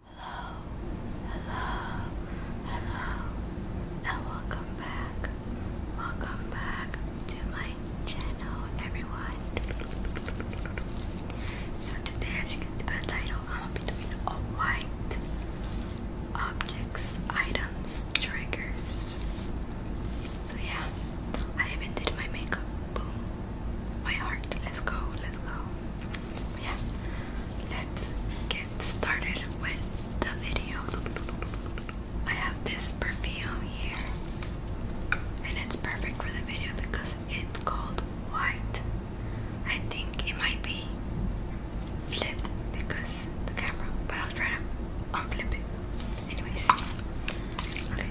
Hello, hello, hello, and welcome back. Welcome back to my channel, everyone. So, today, as you can see by the title, I'm going to be doing a white objects, items, triggers. So, yeah, I even did my makeup. Boom. My heart. Let's go. Let's go. Yeah let's get started with the video. I have this perfume here, and it's perfect for the video because it's called white. I think it might be flipped because the camera, but I'll try to unflip it. Anyways, okay.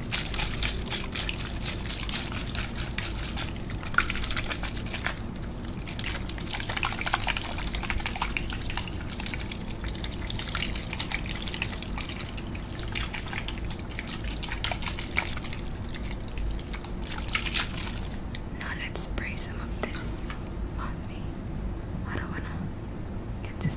Now let's spray some of this on me. I don't wanna get this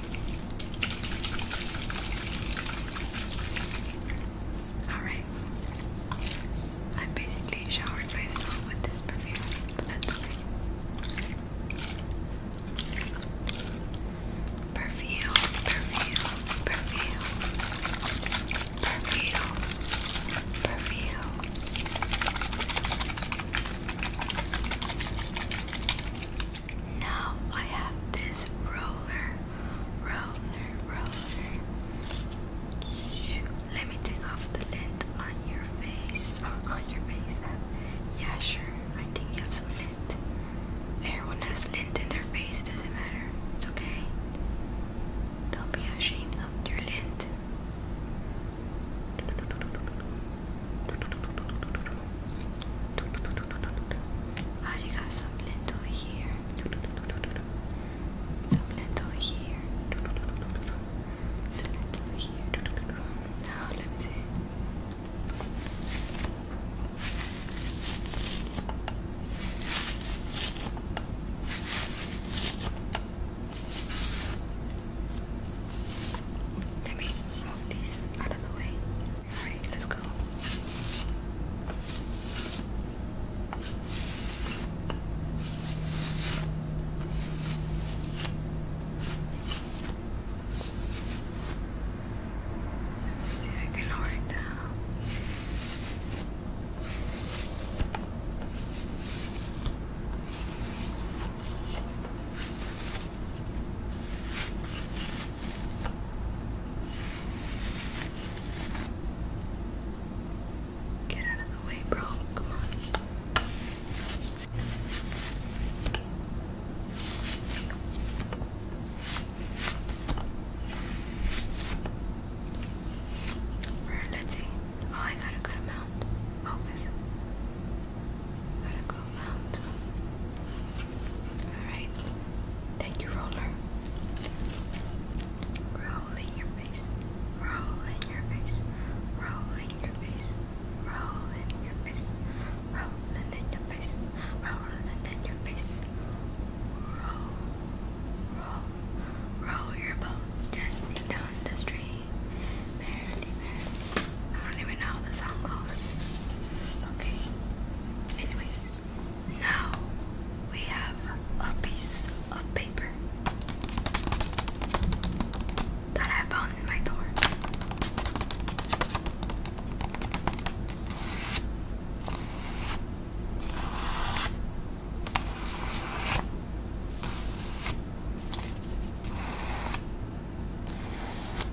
Alright. I basically showered myself with this perfume, Perfume, perfume, perfume, perfume, perfume. Now I have this roller, roller, roller. Shoot. Let me take off the lint on your face. on your face. Yeah, sure. I think you have some lint. Everyone has lint in their face. It doesn't matter. It's okay. Don't be ashamed of your lint. Oh, got some lint over here. Some lint over here. Some lint over here. Now, let me see. Let me move these out of the way. Alright, let's go. Let's see if I can lower it down. Get out of the way, bro. Come on. let's see. Oh, I gotta go to Focus. Gotta go Mount. Alright. Thank you, roller. Roll your face. Roll your face. Roll your face. Roll your face. Roll in your face. Roll in your face. Roll, roll, roll your boat down the stream. I don't even know how the song goes. Okay. Anyways. Now we have a piece of paper that I found in my door.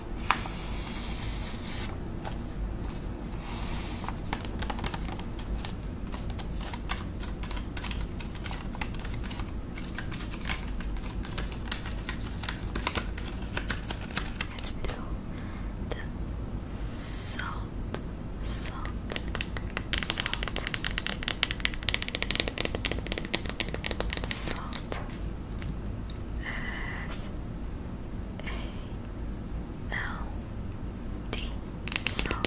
Let's do the salt, salt, salt, salt. S A L D salt.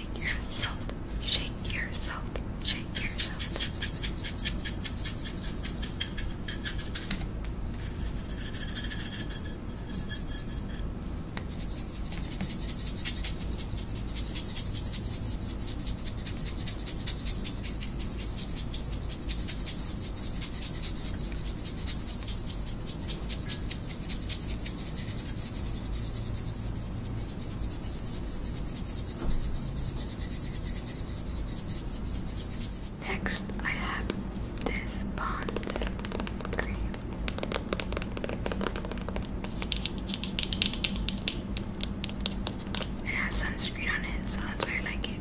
shake yourself, shake yourself, shake yourself. Shake Next, I have this Bond cream. It has sunscreen on it, so that's why I like it.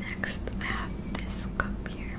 Next, I have this cup here.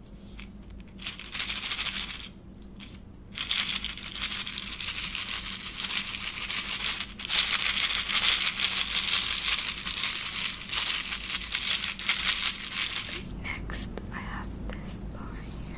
Next, I have this bar here.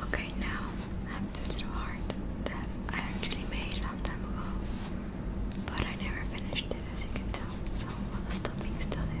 Okay, now I have this little heart that I actually made a long time ago. But I never finished it, as you can tell. So all the stuffing's still there.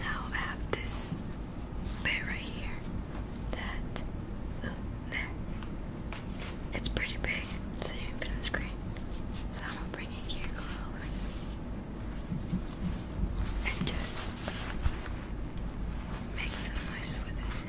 now I have this bit right here. That, there. It's pretty big, so you can on the screen. So I'm going it here close. And just make some noise with it.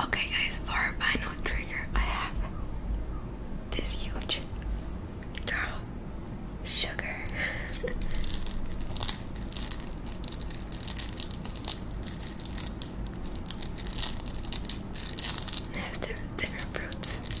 Okay, guys, for final trigger, I have this huge girl sugar. It has different, different fruits.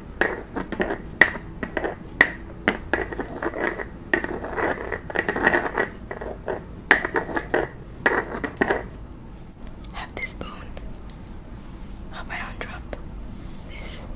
Have this bone. Hope I don't drop this. But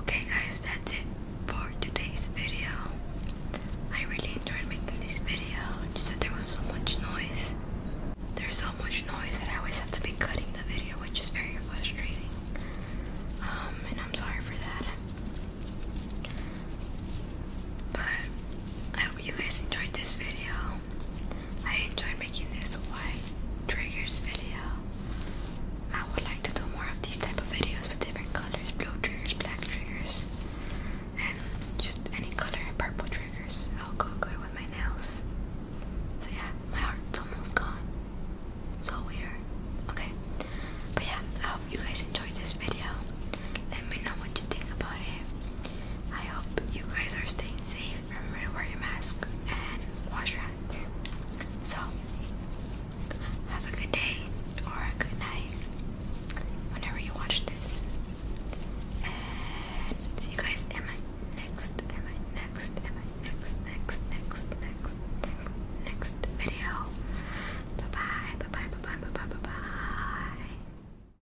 Okay guys, that's it for today's video. I really enjoyed making this video. Just that there was so much noise. There's so much noise that I always have to be cutting the video, which is very frustrating. Um, and I'm sorry for that. But I hope you guys enjoyed this video. I enjoy making this white triggers video. I would like to do more of these type of videos with different colors, blue triggers, black triggers, and just any color and purple triggers. I'll go good with my nails. So yeah, my heart's almost gone. So weird. Okay. But yeah, I hope you guys enjoyed this video. Let me know what you think about it. I hope you guys are staying safe. Remember to wear your mask and wash your hands. So, have a good day or a good night whenever you watch this. And see you guys next, next, next, next, next, next, next, next video. Bye bye, bye bye, bye bye, bye bye, bye bye.